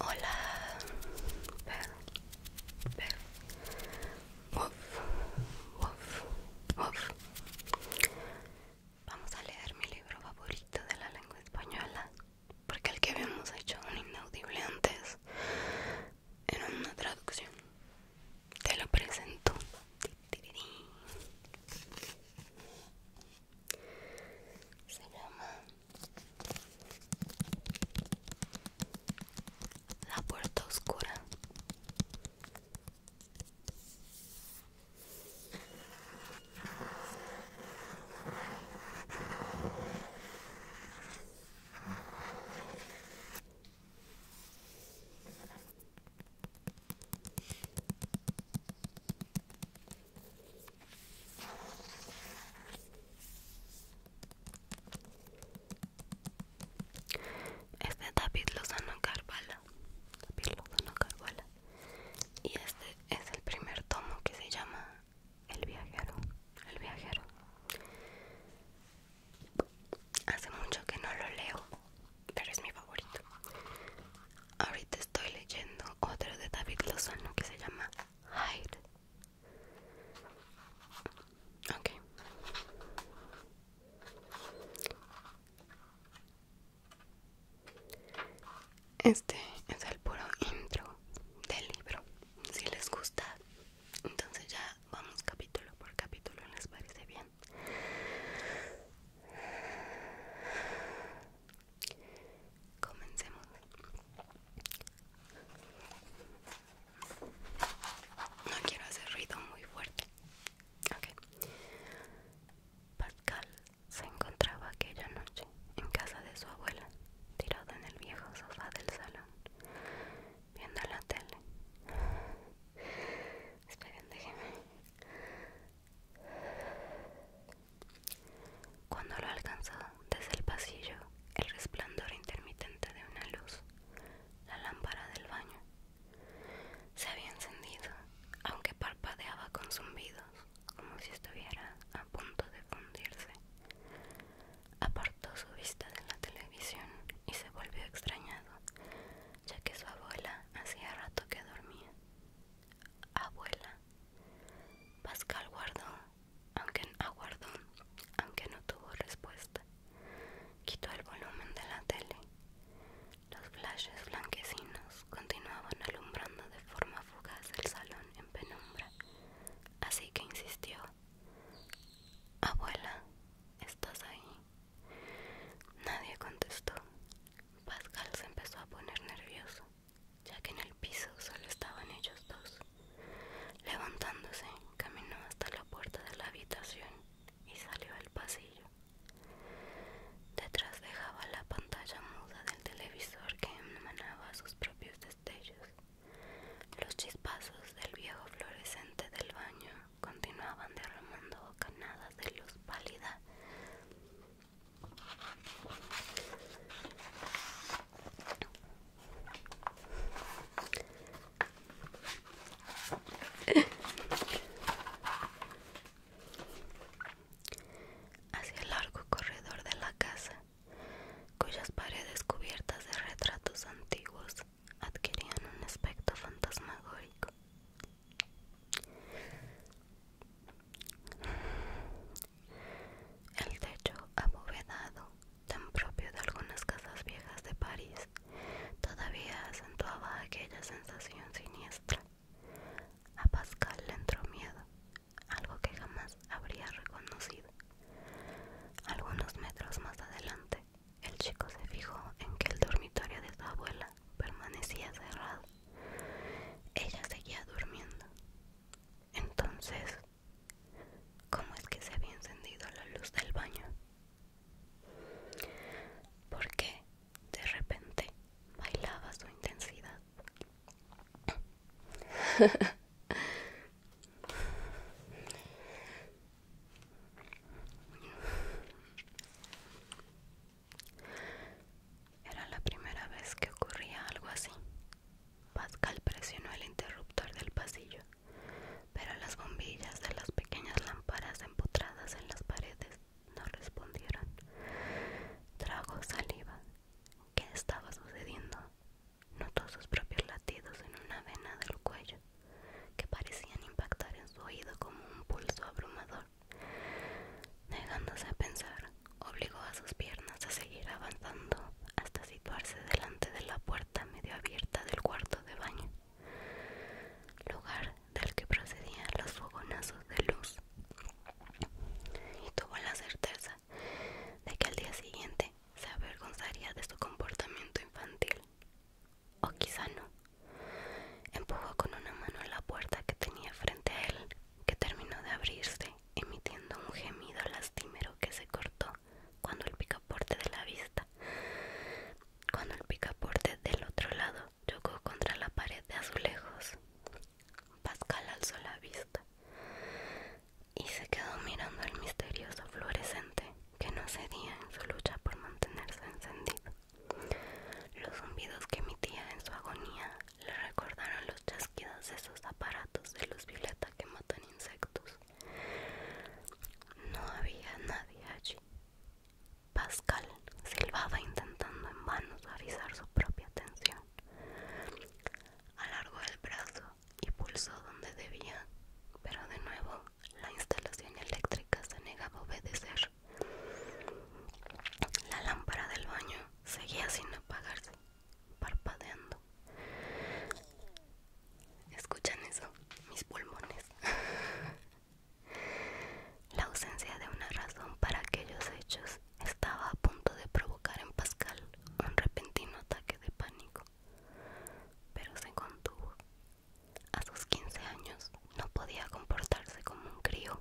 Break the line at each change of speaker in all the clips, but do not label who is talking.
Hola, Vamos a leer mi libro favorito de la lengua española, porque el que habíamos hecho un inaudible antes era una traducción. Te lo presento se llama La Puerta Oscura. Es este David Lozano Carvalho, David Lozano Y este es el primer tomo que se llama El viajero. El viajero. Hace mucho que no lo leo, pero es mi favorito. Ahorita estoy leyendo otro de David Lozano que se llama Hide Ok. Este es el puro intro del libro. Si les gusta, entonces ya vamos capítulo por capítulo, ¿les parece bien? Comencemos. No quiero hacer ruido muy fuerte. ok Pascal se encontraba aquella noche en casa de su abuela, tirado en el viejo sofá del salón, viendo la tele. Esperen, déjenme cuando lo alcanzó desde el pasillo, el resplandor intermitente de una luz, la lámpara del baño, se había encendido, aunque parpadeaba con zumbidos, como si estuviera a punto de fundirse. Apartó su vista de la televisión y se volvió extrañado, ya que su abuela hacía rato que dormía abuela. Pascal guardó, aunque ah, aunque no tuvo respuesta. Quitó el volumen de la tele. Los flashes blanquecinos continuaban alumbrando de forma fugaz el salón en penumbra, así que insistió. Abuela, ¿estás ahí? Nadie contestó. Pascal se empezó a poner nervioso, ya que en el piso solo estaban ellos dos. Levantándose, caminó hasta la puerta de la habitación y salió al pasillo. Detrás dejaba la pantalla muda del televisor que emanaba sus propios destellos. Los chispazos del viejo fluorescente del baño continuaban derramando bocanadas de luz pálida Hacia el largo corredor de la casa, cuyas paredes cubiertas de retratos antiguos adquirían un aspecto fantasmagórico. El techo abovedado, tan propio de algunas casas viejas de París, todavía acentuaba aquella sensación siniestra. A Pascal le entró miedo, algo que jamás habría reconocido. Algunos metros más adelante, el chico se fijó en que el dormitorio de su abuela permanecía cerrado Ella seguía durmiendo. Entonces, ¿cómo es que se había encendido la luz del baño? Porque de repente bailaba su intensidad. Era la primera vez que ocurría algo así. Pascal presionó el interruptor del pasillo, pero las bombillas de las pequeñas lámparas empotradas en las paredes no respondieron. Trago saliva. ¿Qué estaba sucediendo? Notó sus propios latidos en una vena del cuello, que parecían impactar en su oído como un pulso abrumador. Negándose a pensar, obligó a sus piernas a seguir avanzando hasta situarse delante de la puerta medio abierta del cuarto de baño, lugar del que procedían los fogonazos de luz, y tuvo la certeza de que al día siguiente se avergonzaría de su comportamiento infantil. O quizá no. Empujó con una mano la puerta que tenía frente a él que terminó de abrirse, emitiendo un gemido lastimero que se cortó cuando el picaporte de la vista, cuando el picaporte del otro lado chocó contra la pared de azulejos. Pascal alzó la vista y se quedó mirando el misterioso fluorescente que no cedía en su lucha por mantenerse encendido. Los zumbidos que emitía en su agonía le recordaron los chasquidos de esos aparatos de luz violeta que matan insectos. No había nadie allí. Pascal silbaba intentando en vano suavizar su propia atención Alargó el brazo y pulsó donde debía, pero de nuevo la instalación eléctrica se negaba a obedecer. La lámpara del baño seguía sin apagarse, parpadeando. ¿Escuchan eso? Mis pulmones. La ausencia de una razón para aquellos hechos estaba a punto de provocar en Pascal un repentino ataque de pánico, pero se contuvo. A sus 15 años no podía comportarse como un crío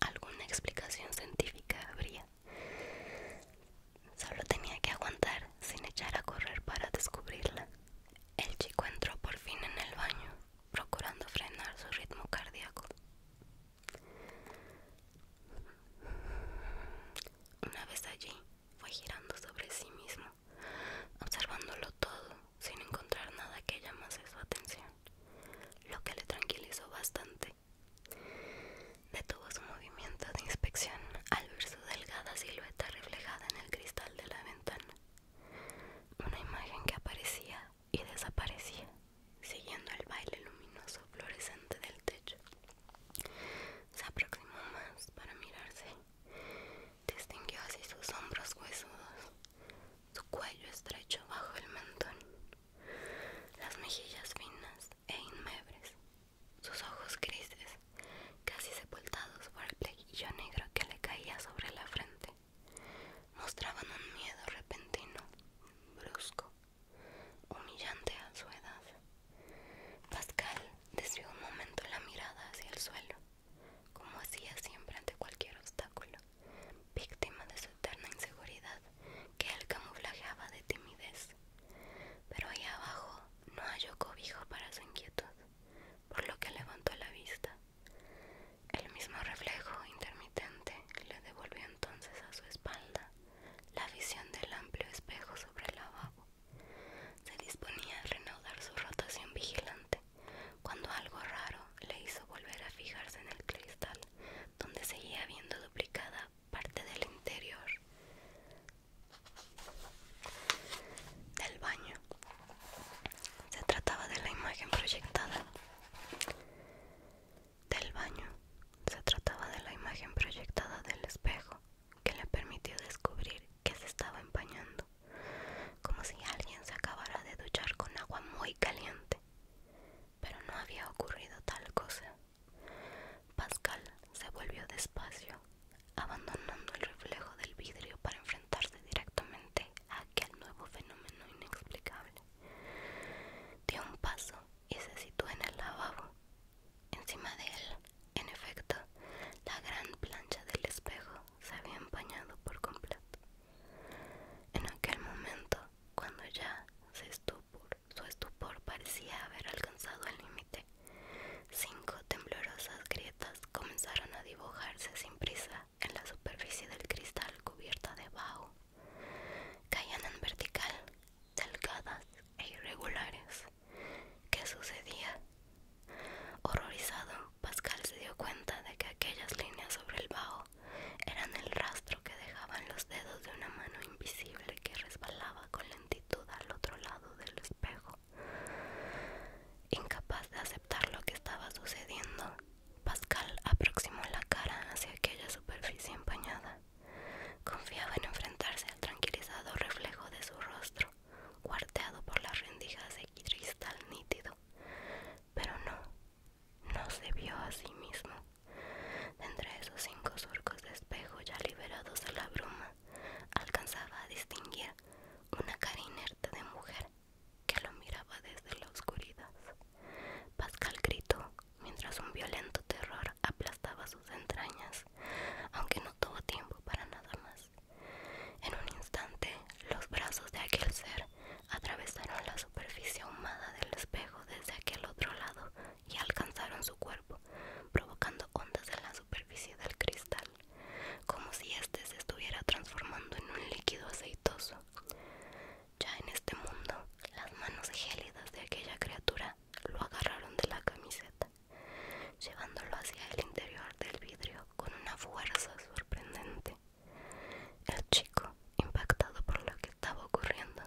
alguna explicación científica habría. Solo tenía que aguantar sin echar a correr para descubrirla. El chico entró por fin en el baño, procurando frenar su ritmo cardíaco. Una vez allí, fue girando sobre sí mismo, observándolo todo sin encontrar nada que llamase su atención lo que le tranquilizó bastante. Detuvo su movimiento de inspección al ver su delgada silueta reflejada en el cristal de la ventana, una imagen que aparecía y desaparecía, siguiendo el baile luminoso fluorescente del techo. Se aproximó más para mirarse, distinguió así sus hombros huesudos, su cuello estrecho bajo el mentón, las mejillas finas e inmebres, sus ojos grises, casi sepultados por el pleguillo negro que le caía sobre la frente, mostraban un miedo repentino, brusco, humillante a su edad. Pascal desvió un momento la mirada hacia el suelo, como hacía siempre ante cualquier obstáculo víctima de su eterna inseguridad que él camuflajeaba de timidez. Pero ahí abajo no halló cobijo para su inquietud, por lo que levantó la vista. El mismo reflejo intermitente le devolvió entonces a su espalda la visión del amplio espejo sobre el lavabo. Se disponía a reanudar su rotación vigilante cuando algo raro le hizo volver a fijarse en el cristal, donde seguía viendo duplicada parte del interior del baño. Se trataba de la imagen proyectada del baño. Se trataba de la imagen proyectada del espejo que le permitió descubrir que se estaba empañando, como si alguien se acabara de duchar con agua muy caliente pero no había ocurrido tal cosa. Pascal se volvió despacio, abandonando el reflejo del vidrio para enfrentarse directamente a aquel nuevo fenómeno inexplicable. Dio un paso y se situó en el lavabo. Encima de él, en efecto, la gran plancha del espejo se había empañado por completo. En aquel momento cuando ya se su estupor parecía haber alcanzado el límite. Cinco temblorosas grietas comenzaron a dibujarse sin prisa en la superficie del cristal cubierta de bajo. Caían en vertical, delgadas e irregulares. ¿Qué sucedía? Horrorizado, Pascal se dio cuenta de que aquellas líneas sobre el bajo eran el rastro que dejaban los dedos de una mano invisible que resbalaba con lentitud al otro lado del espejo. Incapaz de aceptar lo que estaba sucediendo, Pascal aproximó la cara hacia aquella superficie empañada. Confiaba en enfrentarse al tranquilizado reflejo de su rostro, cuarteado por las rendijas de cristal nítido. Pero no, no se vio a sí mismo. Entre esos cinco surcos de espejo ya liberados de la bruma, alcanzaba a distinguir una cara inerte de mujer que lo miraba desde la oscuridad. Pascal gritó mientras un violento terror aplastaba sus entrañas, aunque no tuvo tiempo para nada más. En un instante, los brazos de aquel ser atravesaron la superficie ahumada del espejo desde aquel otro lado y alcanzaron su cuerpo, provocando ondas en la superficie del cristal, como si éste se estuviera transformando en un líquido aceitoso. Ya en este mundo, las manos gélidas de aquella criatura lo agarraron de la camiseta, llevándolo hacia el interior del vidrio con una fuerza sorprendente. El chico, impactado por lo que estaba ocurriendo,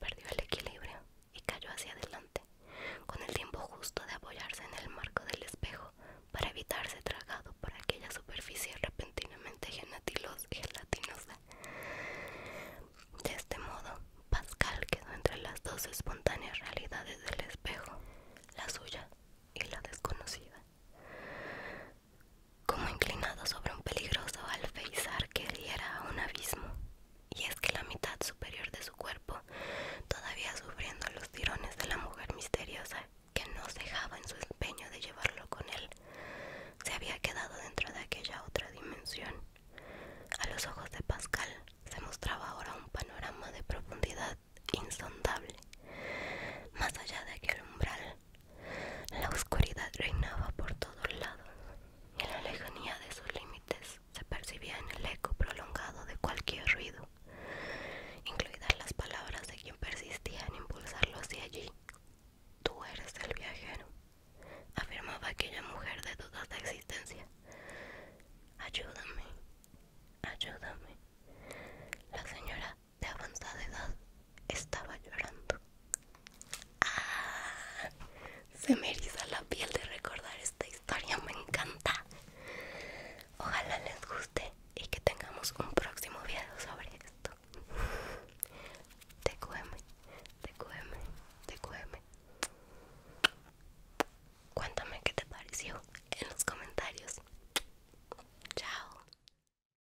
perdió el equilibrio y cayó hacia adelante, con el tiempo justo de apoyarse en el marco del espejo para evitarse tragado por aquella superficie repentinamente gelatinosa. De este modo, Pascal quedó entre las dos espontáneas realidades del espejo, la suya y la desconocida como inclinado sobre un peligroso alféizar que diera a un abismo, y es que la mitad superior de su cuerpo, todavía sufriendo los tirones de la mujer misteriosa que no dejaba en su empeño de llevarlo con él, se había quedado dentro de aquella otra dimensión. A los ojos de Pascal se mostraba ahora un panorama de profundidad insondable. Más allá de aquel umbral, la oscuridad reinaba por todos lados y en la lejanía de sus límites se percibía en el eco prolongado de cualquier ruido, incluidas las palabras de quien persistía en impulsarlo hacia allí. Tú eres el viajero, afirmaba aquella mujer de dudas de existencia. Ayúdame, ayúdame. La señora de avanzada edad estaba llorando. ¡Ah! Se me eriza la piel de recordar esta historia, me encanta. Ojalá les guste y que tengamos un próximo video sobre esto. TQM, te TQM. Cuéntame qué te pareció en los comentarios. Chao.